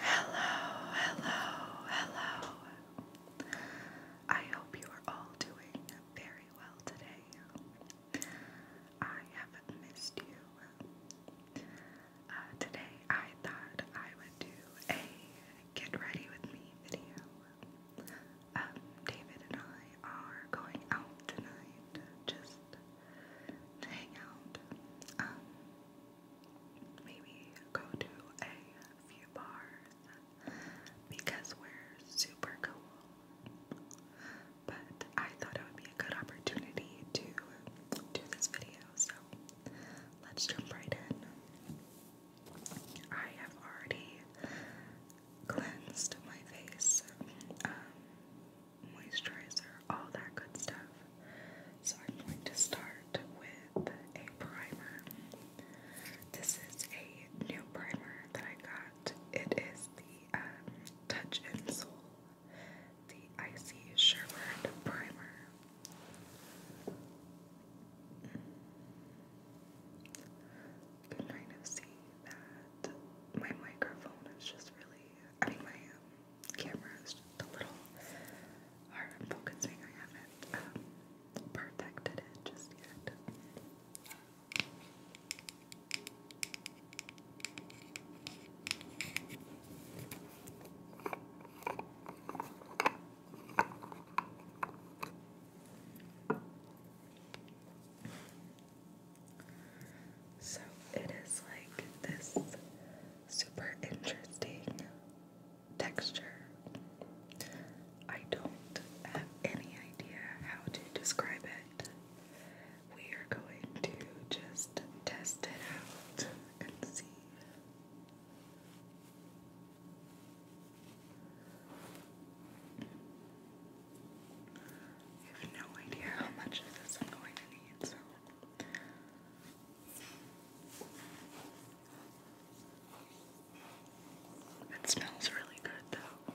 Hello, hello, hello. I hope you are all doing very well today. I have missed you. Uh, today I thought I would do a get ready with me video. Um, David and I are going out tonight just to hang out. Um, maybe go to a few bars because we're super cool. But I thought it would be a good opportunity to do this video, so let's jump right in. I have already cleansed my face. Um, moisturizer, all that good stuff. So I'm going to start with a primer. This is a new primer that I got. It is the um, Touch and Soul, the Icy Sherbert Primer. You can kind of see that my microphone is just really, I mean my um, cameras, the little or i focusing, I haven't um, perfected it just yet. So it is like this super interesting texture. I don't have any idea how to describe it. We are going to just test it out and see. I have no idea how much of this I'm going to need, it smells really good, though.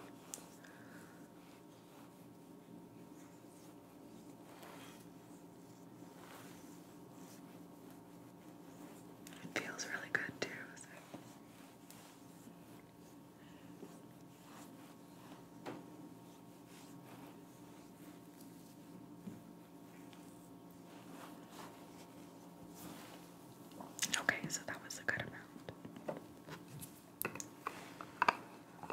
It feels really good, too. Okay, so that was a good amount. Oh,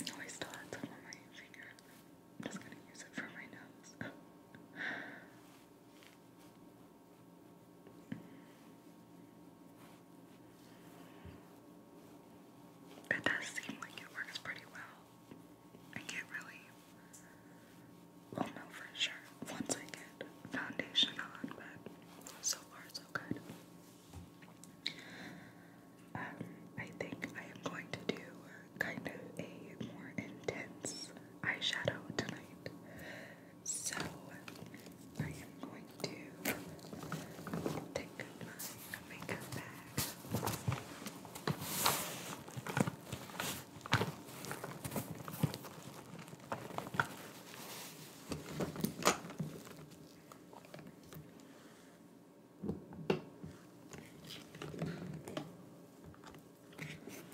I still had some on my finger. I'm just gonna use it for my nose. It does seem like it works pretty well. I can really well know for sure once I get foundation on, but so far so good. Um, I think I am going to do kind of a more intense eyeshadow tonight. So I am going to take my makeup bag. I'm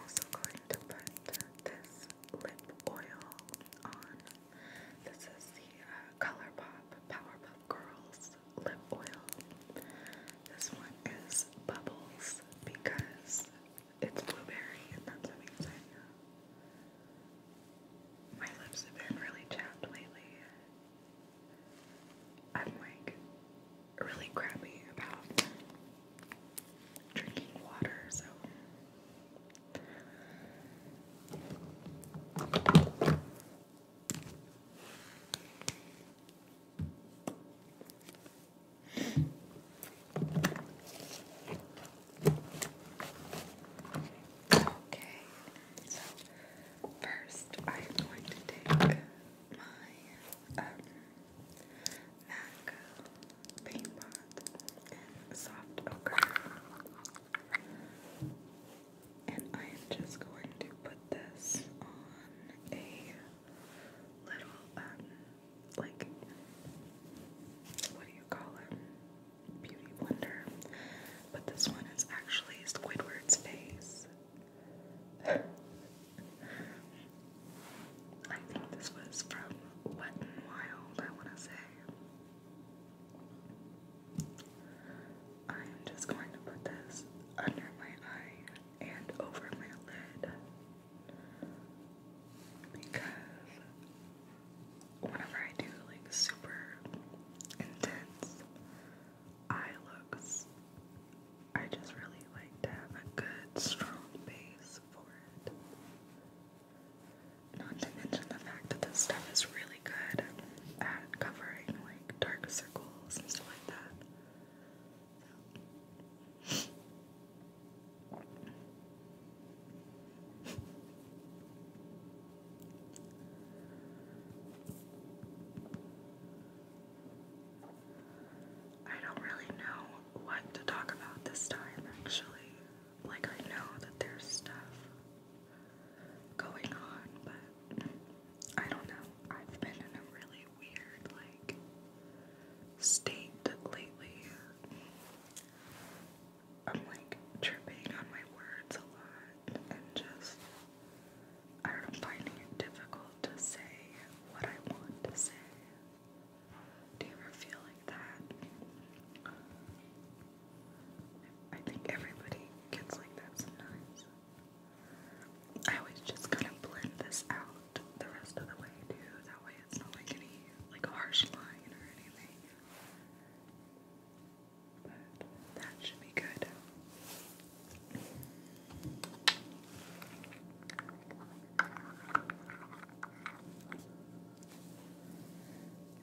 also going to put this lip oil on. This is the uh, ColourPop Powerpuff Girls lip oil. This one is Bubbles because it's blueberry and that's amazing. My lips have been really chapped lately. I'm like really crappy about drinking water, so Okay, so first I'm going to take my um, MAC paint pot in soft ochre, and I am just going to put this on a little um, like what do you call it? Beauty Blender, but this one is actually Squidward's face. I think this was from Wet n Wild, I want to say. I'm just going to put this under my eye and over my lid because whenever I do like super intense eye looks, I just really like to have a good strong base for it. Not to mention the fact that this stuff is really good at covering like dark circles and stuff like that. I don't really know what to talk about this time, actually. Like, I know that there's stuff going on, but I don't know. I've been in a really weird, like, state lately. I'm like tripping on my words a lot and just I don't know, finding it difficult to say what I want to say. Do you ever feel like that? I think everybody gets like that sometimes. I always just kind of blend this out the rest of the way too. That way it's not like any like harsh line or anything that should be good.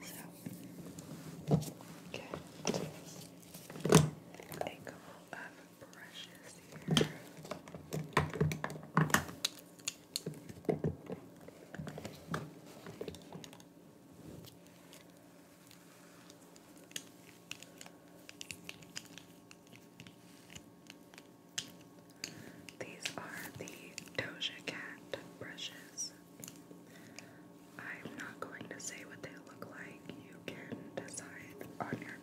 So, get a couple of brushes here. These are the Doja Cat brushes. I'm not going to say what they look like. You can decide on your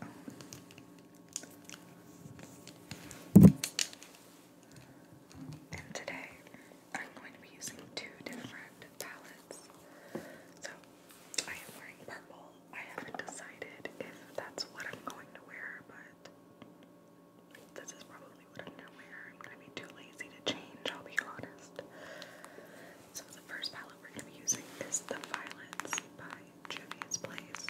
own. And today I'm going to be using two different palettes. So I am wearing purple. I haven't decided if that's what I'm going to wear, but this is probably what I'm going to wear. I'm going to be too lazy to change, I'll be honest. So the first palette we're going to be using is the Violets by Juvia's Place.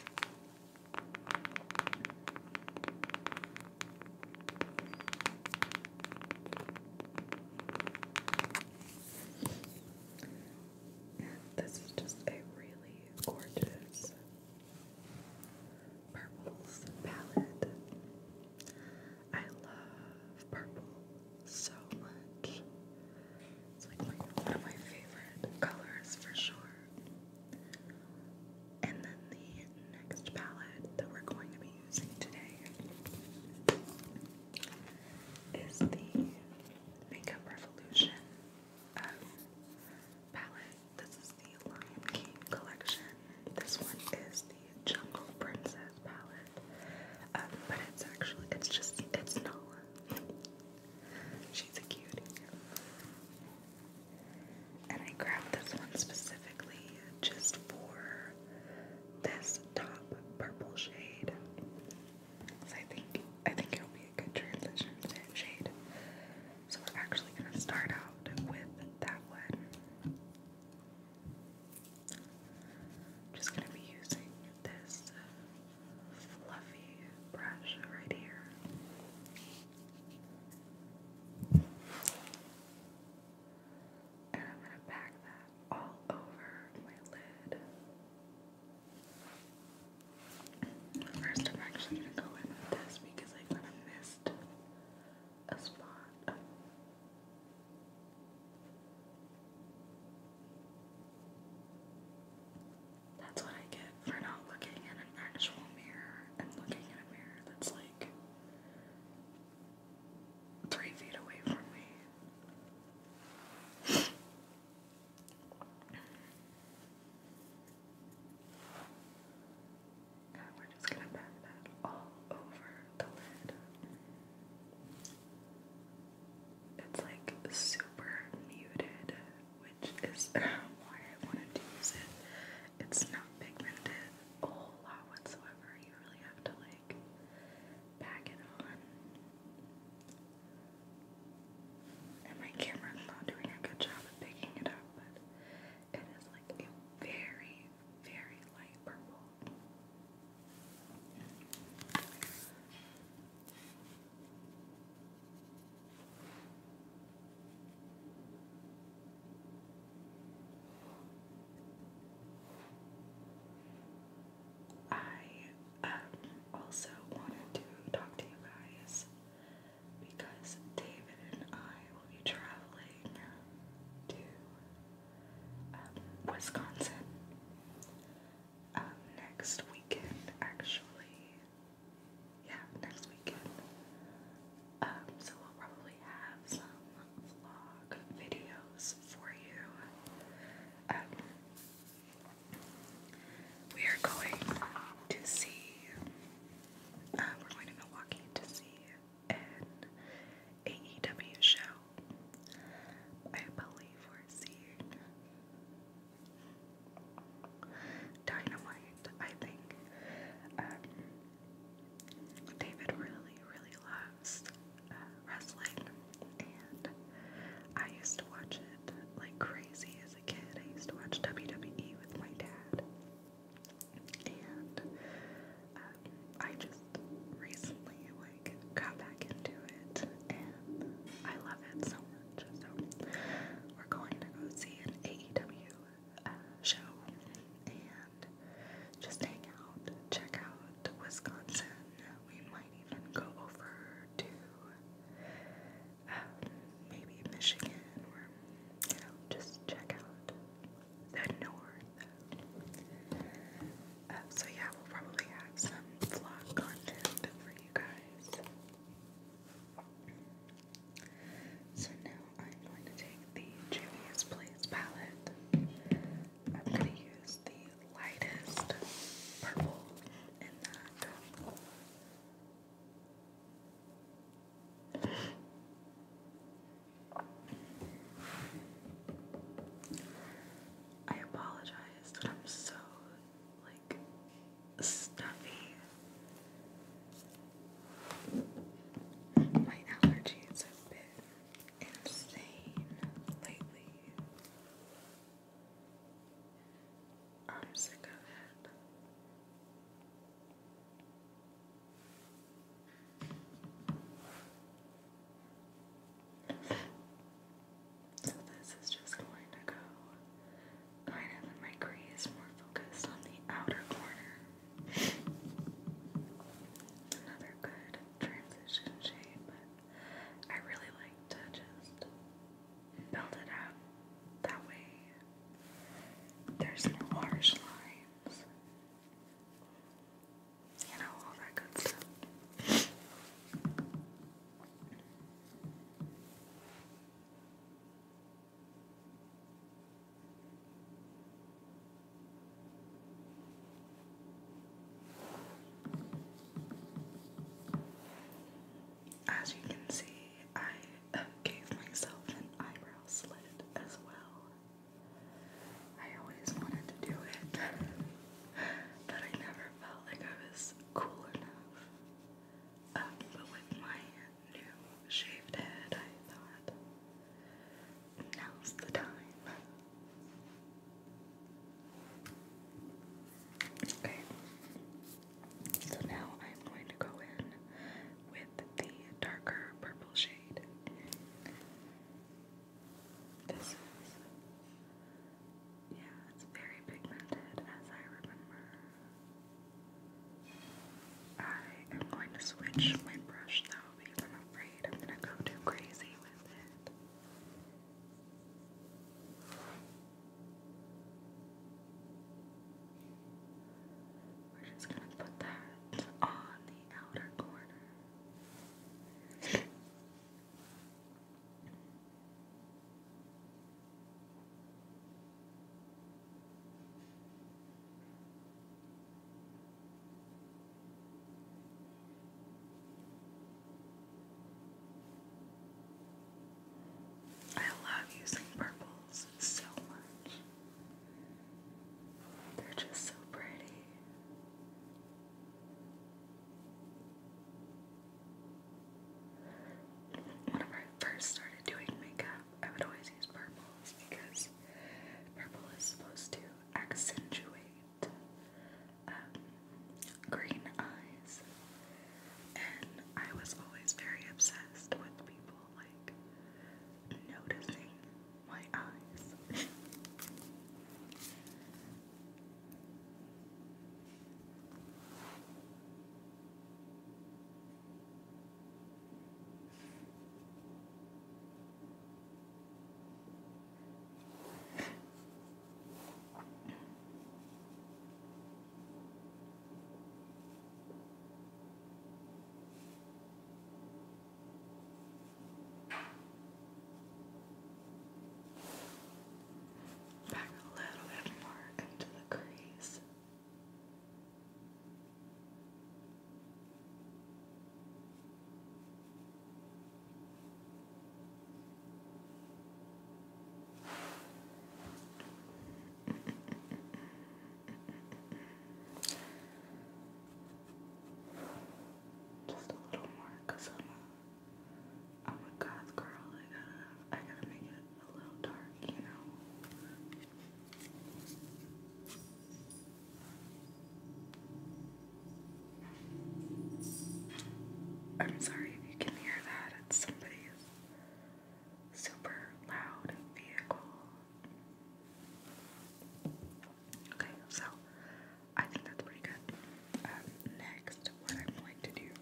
This is just a really gorgeous purples palette. I love purple so much. It's like one of my favorite colors for sure. And then the next palette that we're going to be using today is the Makeup Revolution palette. This is the Lion King collection. This one is the Jungle Princess palette. Um, but it's actually, it's just, it's Nala. She's a cutie. And I grabbed this one specifically just for this top purple shade. So I think I think it'll be a good transition shade. So we're actually gonna start out with that one. just gonna be using this fluffy brush right here. And I'm going to pack that all over my lid. First, I'm actually going to go in with this because I kind of missed a spot. That's what I get for not looking at an actual mirror and looking at a mirror that's like three feet away from me. And we're just gonna pat that all over the lid. It's like super muted, which is why I wanted to use it it's not pigmented a whole lot whatsoever. You really have to like pack it on. And my camera's not doing a good job of picking it up, but it is like a very, very light purple. I um, also wanted to talk to you guys because David and I will be traveling to um, Wisconsin um, next weekend, actually yeah, next weekend. Um, so we'll probably have some vlog videos for you. Um, we are going to see, uh, we're going to Milwaukee to see an AEW show. I believe we're seeing dynamite, I think. Um, David really, really loves uh, wrestling, and I used to watch it like crazy as a kid. I used to watch WWE with my dad, and um, I just recently like got back into it, and I love it so much. So we're going to go see an AEW uh, show and just hang out, check out Wisconsin. We might even go over to um, maybe Michigan or, you know, just check out the north. Uh, so, yeah, we'll probably have some vlog content for you guys. So now I'm going to take the Juvia's Place palette. I'm going to use the lightest purple in that. I apologize that I'm so like stuffy. My allergies have been insane lately. I'm sick of it. So this is just going to go kind of my crease, more focused on the outer corner. Another good transition shade, but I really like to just build it up. That way there's no harsh lines. You know, all that good stuff. As you can see, I gave myself an eyebrow slit as well. I always wanted to do it, but I never felt like I was cool enough. Um, but with my new shaved head, I thought, now's the time. Okay, so now I'm going to go in with the darker purple shade. This is, yeah, it's very pigmented as I remember. I am going to switch my brush though because I'm afraid I'm gonna go too crazy with it. We're just gonna put that on the outer corner. I love using purples so much. They're just so pretty. Whenever I first started doing makeup, I would always use purples because purple is supposed to accentuate um, green eyes. And I was always very obsessed with people like noticing my eyes. Back a little bit more into the crease. Just a little more, i I'm a I'm a goth girl. I gotta I gotta make it a little dark, you know. I'm sorry if you can hear that. It's somebody's super loud vehicle. Okay, so I think that's pretty good. Um, next, what I'm going to do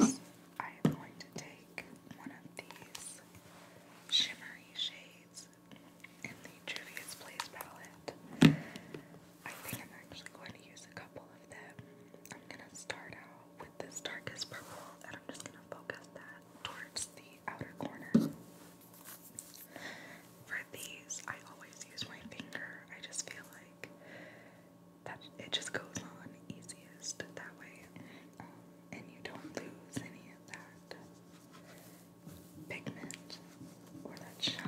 is I am going to take one of these shimmery shades in the Juvia's Place palette. I think I'm actually going to use a couple of them. I'm going to start out with this darkest purple and I'm just going to focus that towards the outer corner. For these, I always use my finger. I just feel like that it just goes on easiest that way. Um, and you don't lose any of that pigment or that shine.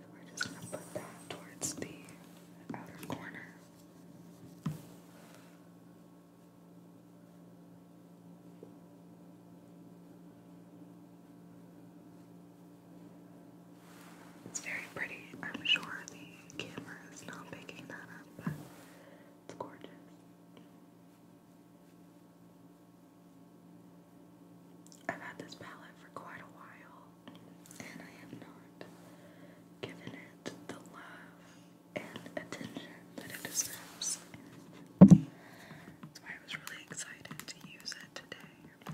So we're just going to put that towards the outer corner. It's very pretty. I'm sure the camera is not picking that up, but it's gorgeous. I've had this palette for quite a while, and I have not given it the love and attention that it deserves. That's why I was really excited to use it today.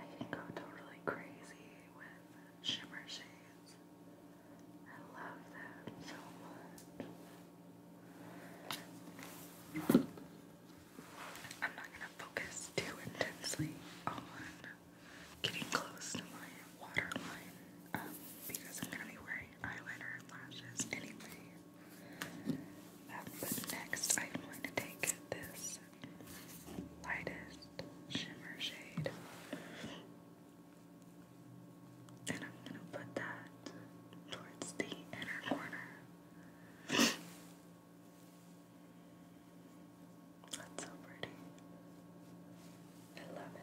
I can go totally crazy with shimmer shades. I love that so much. I'm not gonna focus too intensely on getting close to my waterline um, because I'm gonna be wearing eyeliner and lashes anyway. next, I'm going to take this lightest shimmer shade. And I'm going to put that towards the inner corner. That's so pretty. I love it.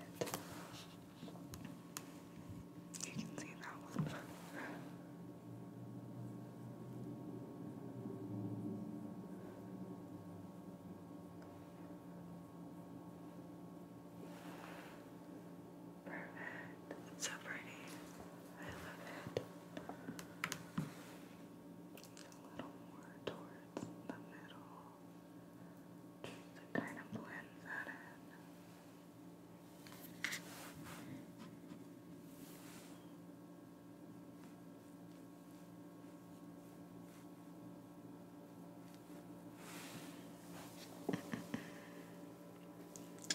You can see that one. Perfect. It's so pretty. I love it. A little more towards the middle. Just kind of blend that in.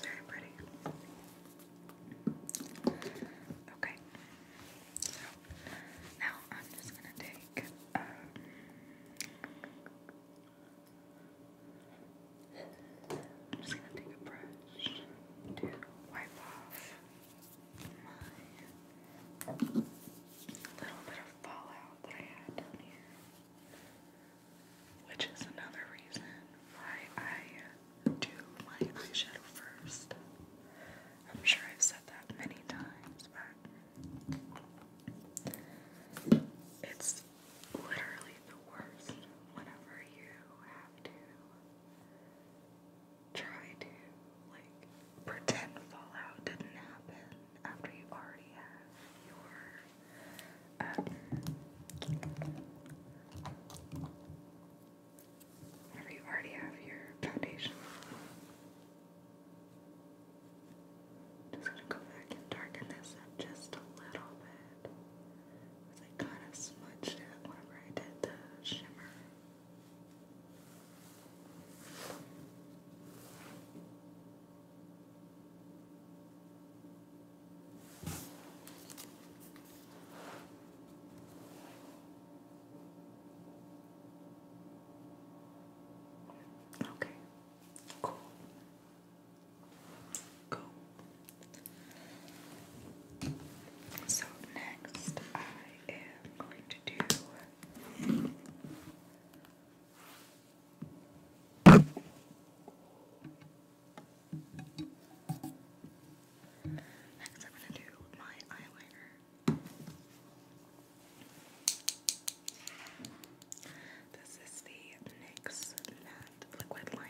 Very pretty. Okay. So now I'm just gonna take um, I'm just gonna take a brush to wipe off my little bit of fallout that I had Which is another reason why I do my eyeshadow first. I'm sure I've said that many times, but it's literally the worst whenever you have to try to like pretend Fallout didn't happen after you already have your um, after you already have your foundation. Just gonna go back and darken this up just a little bit. Because I kind of smudged it whenever I did the shimmer. Okay, cool. Cool. So next I am going to do Next, I'm going to do my eyeliner. This is the NYX Liquid Liner.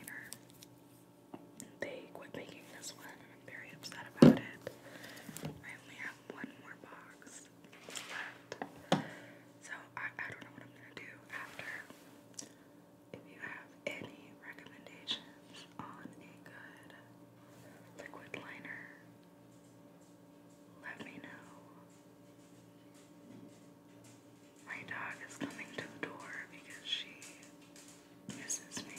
They quit making this one I'm very upset about it. I only have one more box left. So I don't know what I'm gonna do after. If you have any recommendations on a good liquid liner, let me know. My dog is coming to the door because she misses me.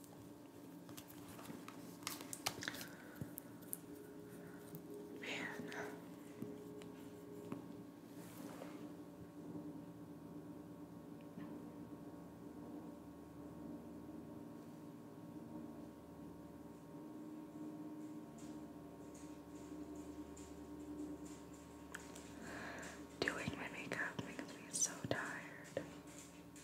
Man. Doing my makeup makes me so tired.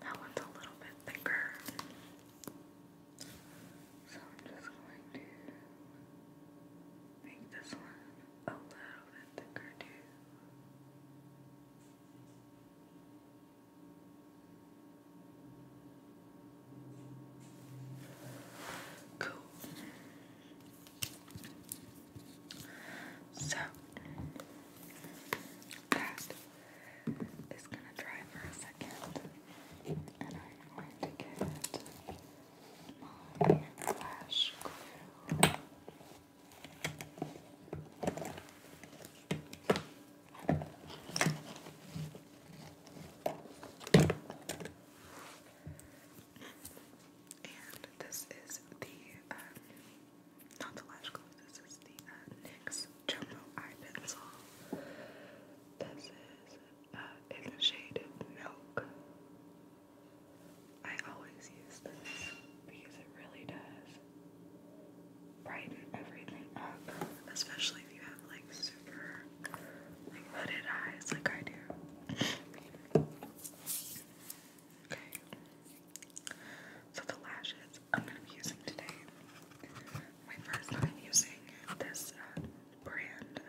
That one's a little bit thicker. So I'm just going to make this one a little bit thicker too. Cool. So that is gonna dry for a second, and I'm going to get my flash And this is the um, not the lash glue, this is the uh, NYX Jumbo Eye Pencil. This is uh, in the shade Milk. I always use this because it really does brighten everything especially if you have like super like hooded eyes like I do. okay. So the lashes I'm going to be using today. My first time using this uh, brand.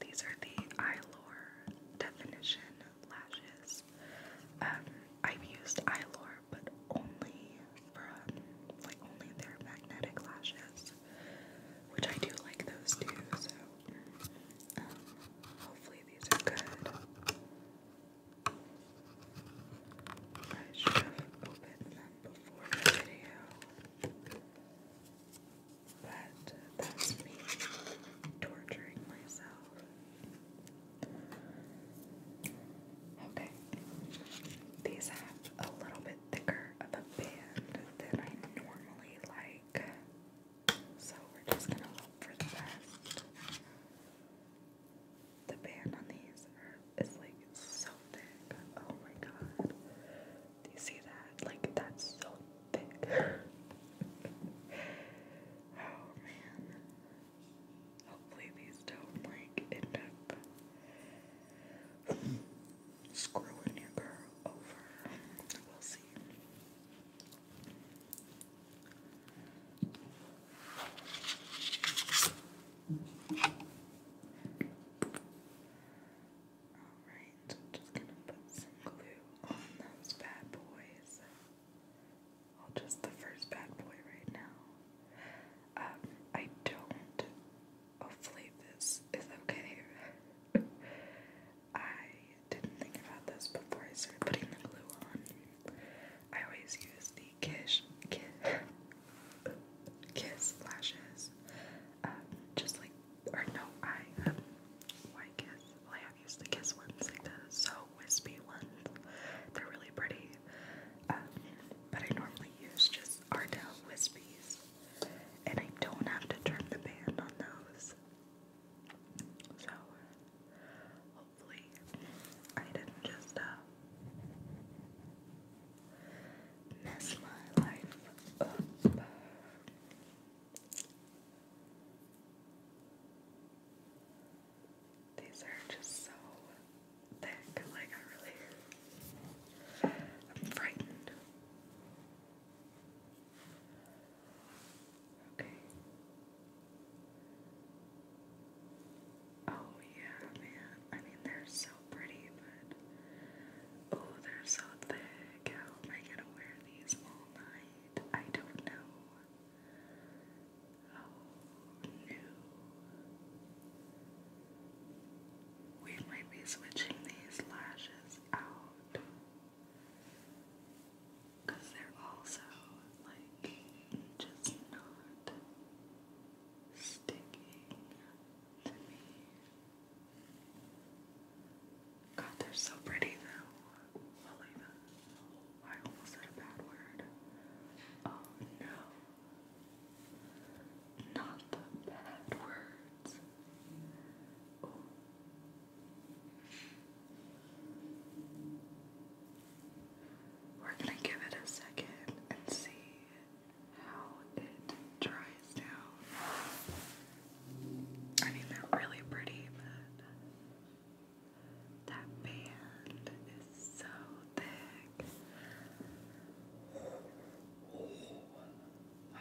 These are the Eyelure Definition Lashes. Um, I've used Eyelure, but only from, like, only their magnetic lashes, which I do like those too, so um, hopefully these are good. Um, I should have opened them before the video, but that's me torturing myself. Okay, these have a little bit thicker of a band than I normally like, so we're just gonna hope for the best. The band on these is like so thick. Oh my god. Do you see that? Like, that's so thick. oh man. Hopefully, these don't like end up screwing your girl over. We'll see. Alright, so I'm just gonna put some glue on those bad boys. Well, just the first bad boy right now. Um, I don't. Hopefully, this is okay. I didn't think about this before I started putting the glue on. I always use the Kish Kiss, kiss lashes. Um, just like, or no, I, um, Kiss? Well, I have used the Kiss ones, like the So Wispy ones. They're really pretty. Um, but I normally use just Ardell Wispies. And I don't have to turn the band on those. So, hopefully I didn't just uh, mess my life up. These are just so thick, like I really, I'm frightened. Okay. Oh yeah, man. I mean, they're so pretty, but oh, they're so thick. How am I gonna wear these all night? I don't know. Oh no. We might be switching these lashes out. Because they're also like just not sticking to me. God, they're so pretty though. I almost said a bad word. Oh no. Not the bad words. We're gonna give it a second and see how it dries down. I mean, they're really pretty, but that band is so thick. wow.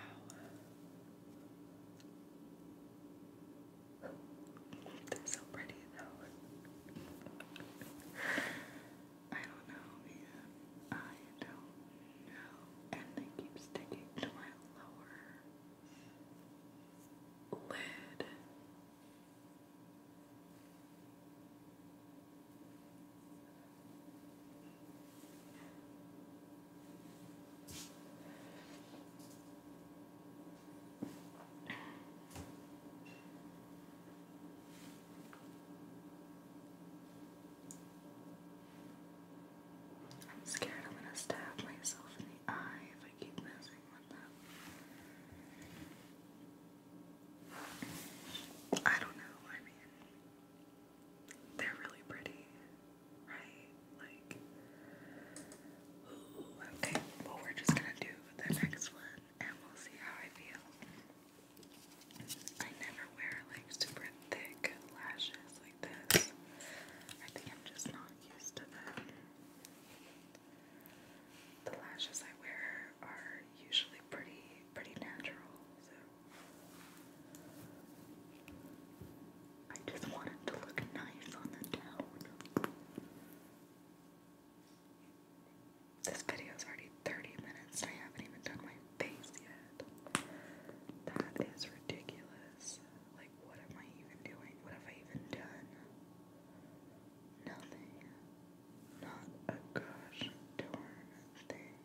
They're so pretty though. I don't know, man. I don't know. And they keep sticking to my lower lid. I'm scared I'm going to stab myself in the eye if I keep messing with them. I don't know, I mean, they're really pretty, right? Like, okay, well, we're just going to do the next one and we'll see how I feel. I never wear like super thick lashes like this. I think I'm just not used to them. The lashes I wear are usually pretty pretty natural, so I just want to look nice on the down. This video is already 30 minutes I haven't even done my face yet. That is ridiculous. Like, what am I even doing? What have I even done? Nothing. Not a gosh darn thing.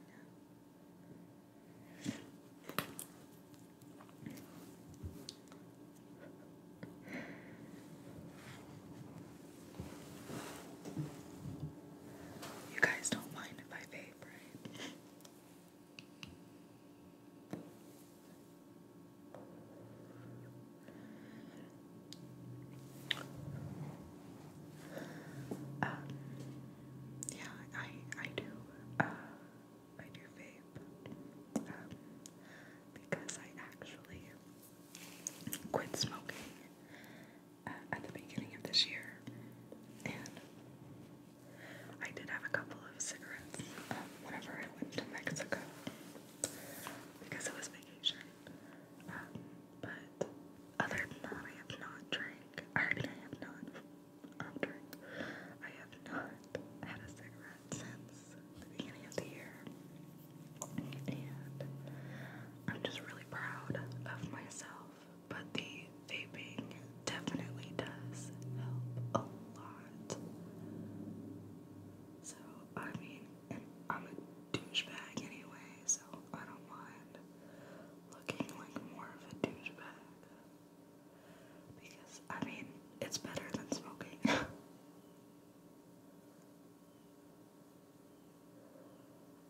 You guys don't mind if I vape, right? Um, yeah, I I do uh, I do vape um, because I actually quit smoking uh, at the beginning of this year, and I did have a couple of cigarettes um, whenever I went to Mexico because it was vacation. Um, but other than that, I have not drank. I have not. Um, drink. I have not had a cigarette since the beginning of the year. And I'm just really proud of myself. But the vaping definitely does help a lot. So, I mean, I'm a douchebag anyway, so I don't mind looking like more of a douchebag. Because, I mean, it's better than smoking.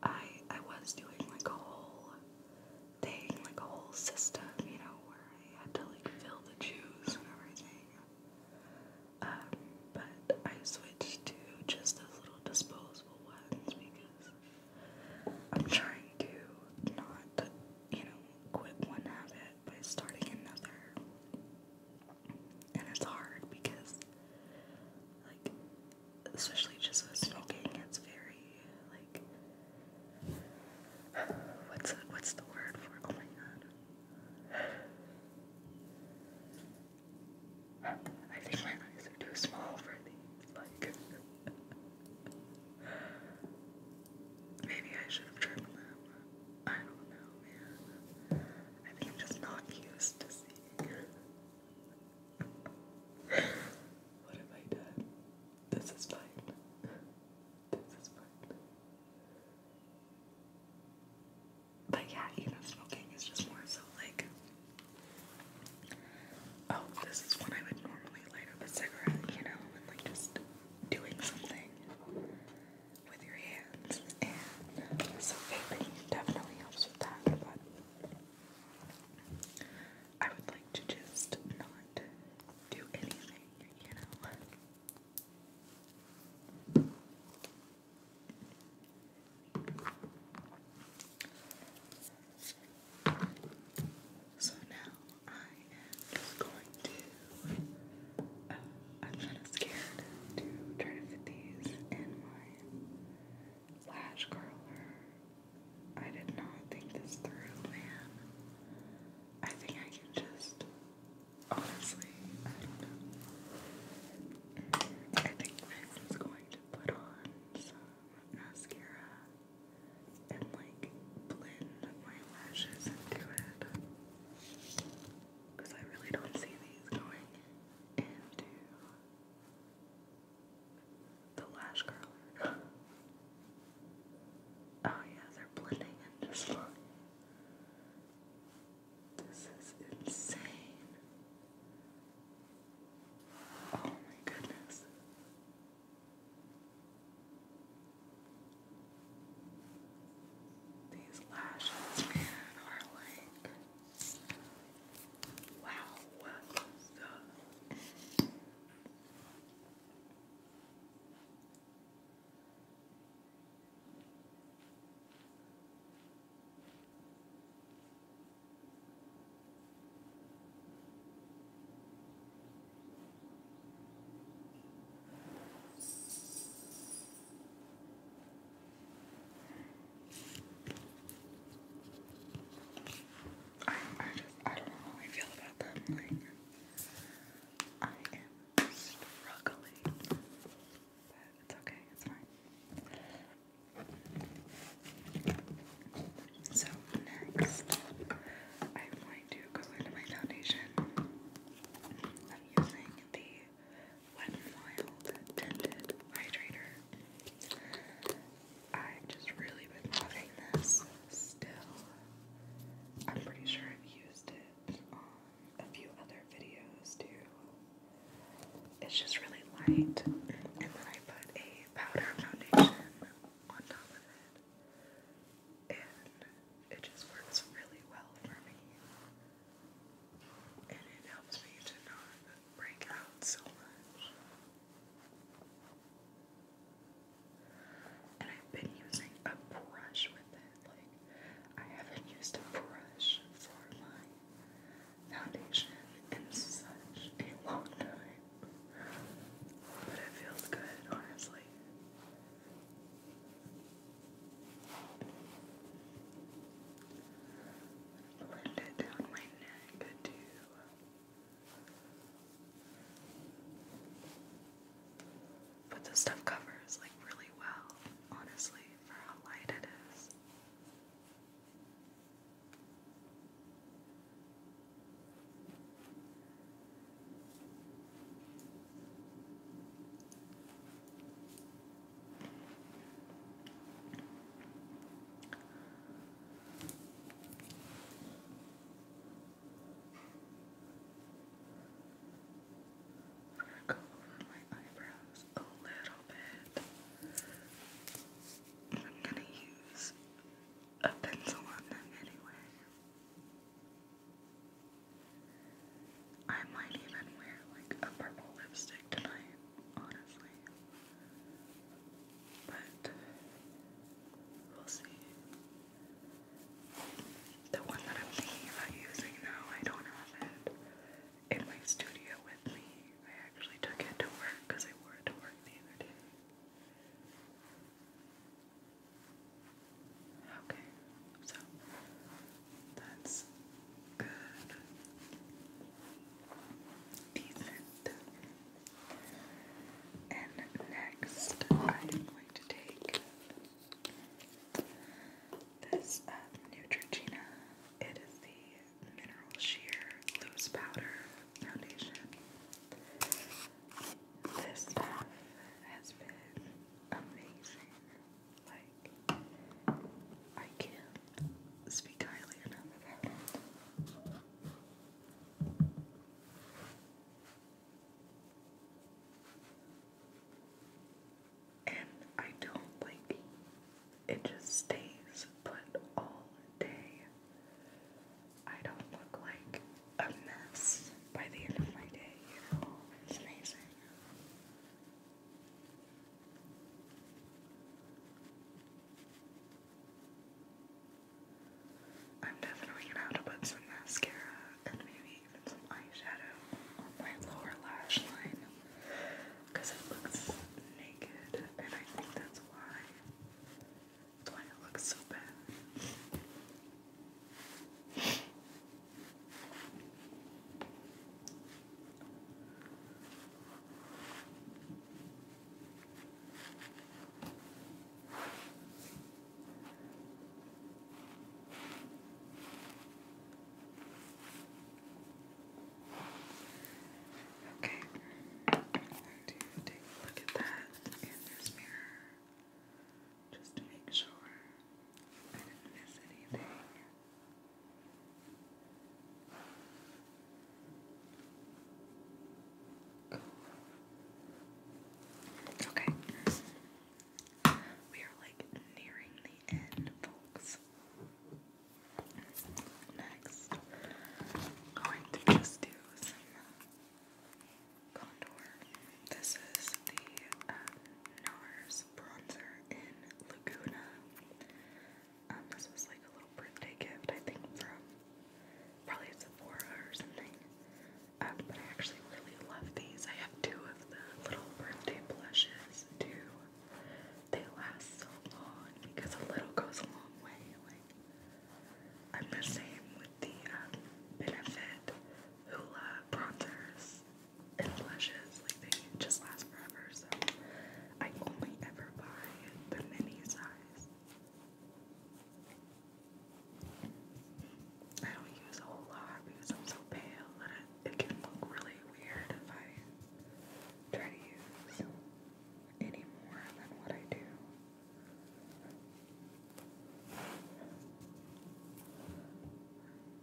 I I was doing like a whole thing, like a whole system, you know, where I had to like fill the juice and everything. Um, but I switched to just those little disposable ones because I'm trying to not, you know, quit one habit by starting another. And it's hard because, like, especially just with smoking, it's very, like, what's, what's the word for Oh my god. I think my eyes are too small for these. Like, maybe I should have trimmed them. I don't know, man. I am just not used to seeing. what have I done? This is fine. This is fine. But yeah, even smoking is just more so like. Oh, this is when I would normally light up a cigarette, you know, and like just doing something with your hands, and so vaping definitely helps with that. But I would like to just not do anything, you know. So now I am going to I'm kind of scared to try to fit these in my lash curler. I did not think this through, man. I think I can just, honestly, I don't know. I think i this just going to put on some mascara and like blend my lashes into it because I really don't see these going into the lash curler. oh yeah, they're blending in just like this is insane. Oh my goodness. These lashes, man, are like wow, what the I, I just, I don't know how I feel about them. Like, I am struggling. But it's okay, it's fine. So, next, I'm going to go into my foundation. I'm using the Wet n Wild Tinted Hydrator. i just really been loving this still. I'm pretty sure I've used it on a few other videos too. It's just really light, and then I put a powder foundation on top of it, and it just works really well for me and it helps me to not break out so much. And I've been using a brush with it. Like, I haven't used a brush for my foundation in such a long time. But it feels good, honestly. Blend it down my neck too. But this stuff covers like really well, honestly, for how light it is. Go over my eyebrows a little bit. I'm gonna use a pencil on them anyway. I might even wear like a purple lipstick tonight, honestly. But we'll see. The one that I'm thinking about using now, I don't have it in my studio with me. I actually took it to work because I wore it to work the other day. Okay, so that's good. Decent. And next, I'm going to take this um, Neutrogena. It is the Mineral Sheer Loose Powder Foundation. This stuff has been amazing. Like, I can speak highly it. And I don't like it just stays put all day. I don't look like a mess by the end of my day. it's amazing. I'm definitely gonna put some mascara and maybe even some eyeshadow on my lower lash line because it looks naked, and I think that's why that's why it looks so bad. Okay. I'm going to take a look at that in this mirror just to make sure. I did Okay. We are like nearing the end, folks. Next, going to just do some uh, contour. This is the uh, NARS bronzer in Laguna. Um, this was like a little birthday gift, I think, from probably Sephora or something. Um, but I actually really love these. I have two of the little birthday blushes too. They last so long because a little goes a long way. Like I'm the same with the um, Benefit Hoola bronzers and blushes, like they just last forever, so I only ever buy the mini size. I don't use a whole lot because I'm so pale that it, it can look really weird if I try to use any more than what I do.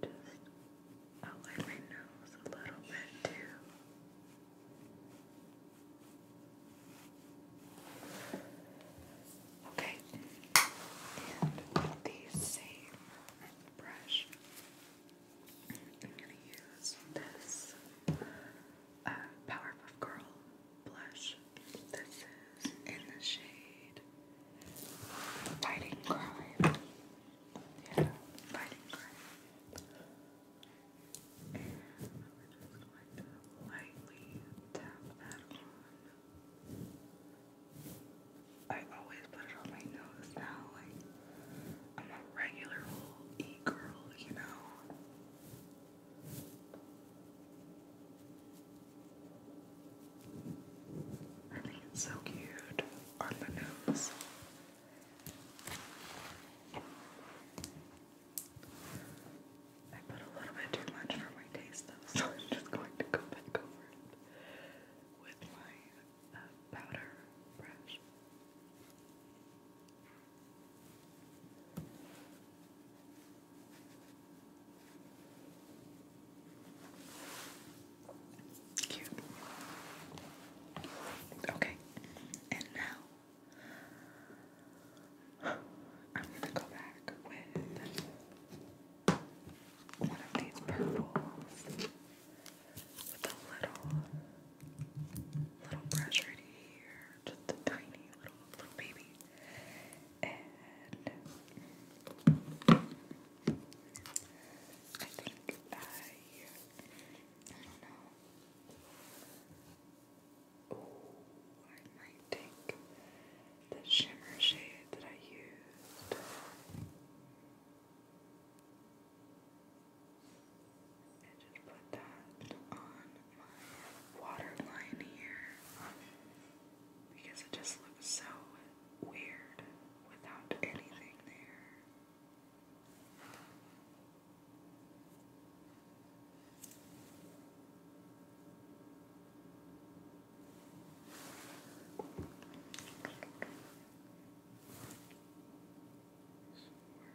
Just I'll my nose a little bit too. Okay, and the same brush, I'm going to use this uh, Powerpuff Girl blush. This is in the shade Fighting Crime. Yeah, fighting crime. And I'm just going to lightly tap that on. I always put it on my nose now, like I'm a regular old e-girl, you know. I mean, so cute on the nose. I put a little bit too much for my taste though, so I'm just going to go back over it with my uh, powder brush. Okay. And now I'm gonna go back with one of these purples with a little little brush right here. Just a tiny little little baby. I think I, I don't know. I might take the shimmer shade that I used. And just put that on my waterline here because it just looks so weird without anything there. So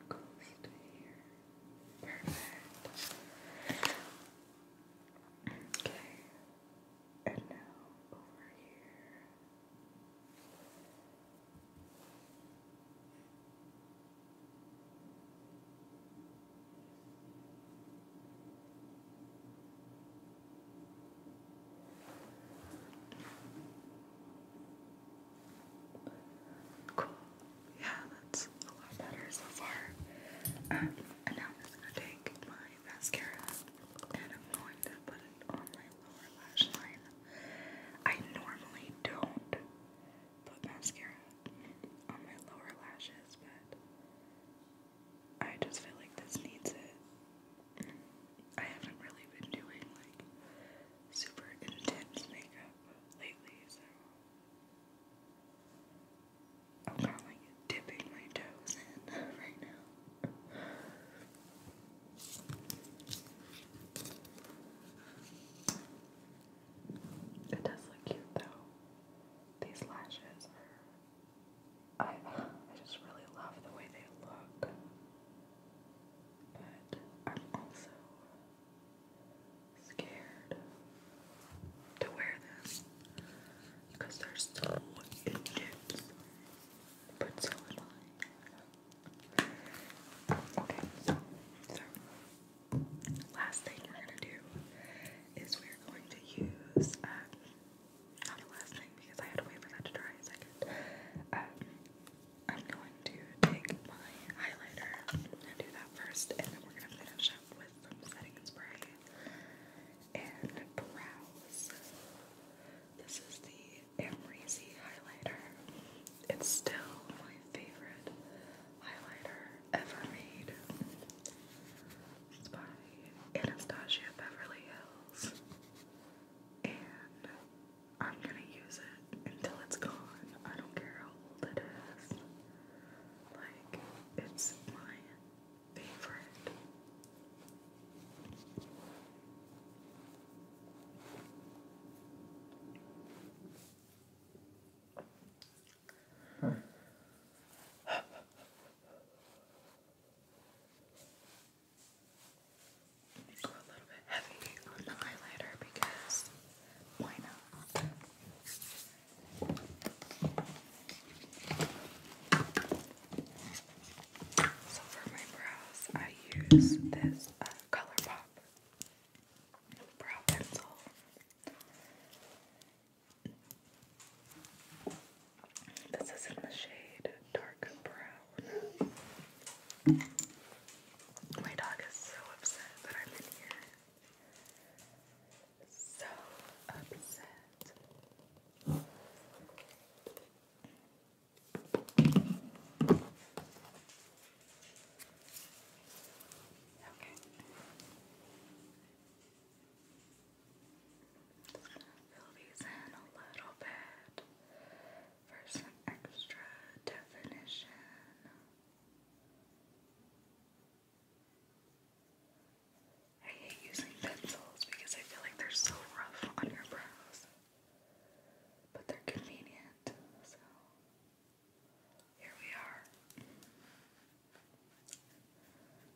close to here. Perfect. Okay. And now over here. Cool. Yeah, that's a lot better so far. Um, and now I'm just gonna take my my mascara and I'm going to put it on my lower lash line. I normally don't put mascara on my lower lashes, but I just feel like this needs it. I haven't really been doing like super intense makeup lately, so I'm kind of like dipping my toes in right now it does look cute though. These lashes are. I, I just really love the way they look. But I'm also scared to wear them because they're so intense but so I. Okay, so, last thing we're gonna do is we're going to use um, not the last thing because I had to wait for that to dry a second. Um, I'm going to take my highlighter and do that first and then we're gonna finish up with some setting spray and brows. This is the Amrezy highlighter. It's still my favorite highlighter ever made. It's by Anastasia Beverly Hills. And I'm gonna use it until it's gone. I don't care how old it is. Like, it's my favorite. Huh. Go a little bit heavy on the highlighter because why not? So for my brows, I use this uh, ColourPop brow pencil. This is in the shade dark brown. My dog is so upset that I'm in here. So upset. Okay. Just gonna fill these in a little bit for some extra definition. I hate using pencils because I feel like they're so rough on your brush. But they're convenient, so here we are.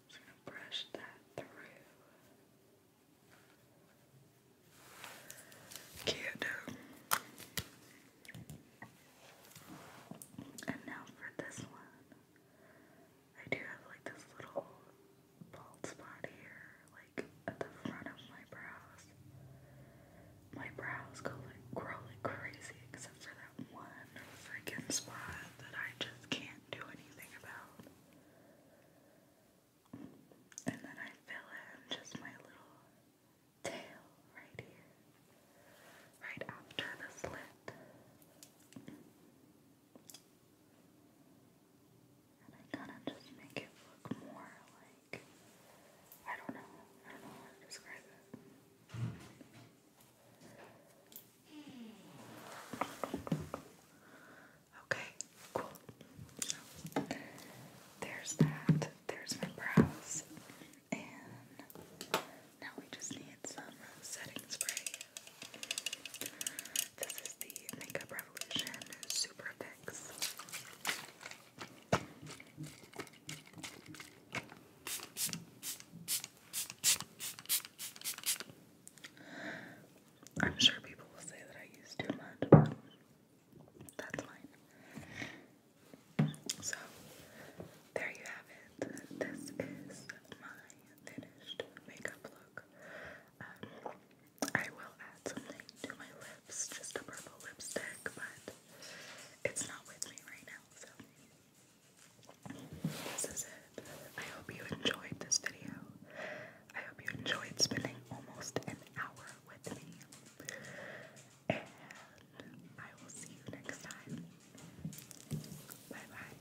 Just gonna brush that through. Cute. And now for this one. I do have like this little bald spot here, like like at the front of my brows. My brows go like grow like crazy, except for that one freaking spot that I just can't do anything about. And then I fill in just my little tail right here, right after the slit. And I kind of just make it look more like I don't know. I don't know how to describe it. Okay, cool. there's that. There's my brows. And now we just need some setting spray. This is the Makeup Revolution Super Fix. I'm sure people will say that I use too much, but that's fine. So, there you have it. This is my finished makeup look. Um, I will add something to my lips, just a purple lipstick, but it's not with me right now, so this is it. I hope you enjoyed this video. I hope you enjoyed spending almost an hour with me. And I will see you next time. Bye bye.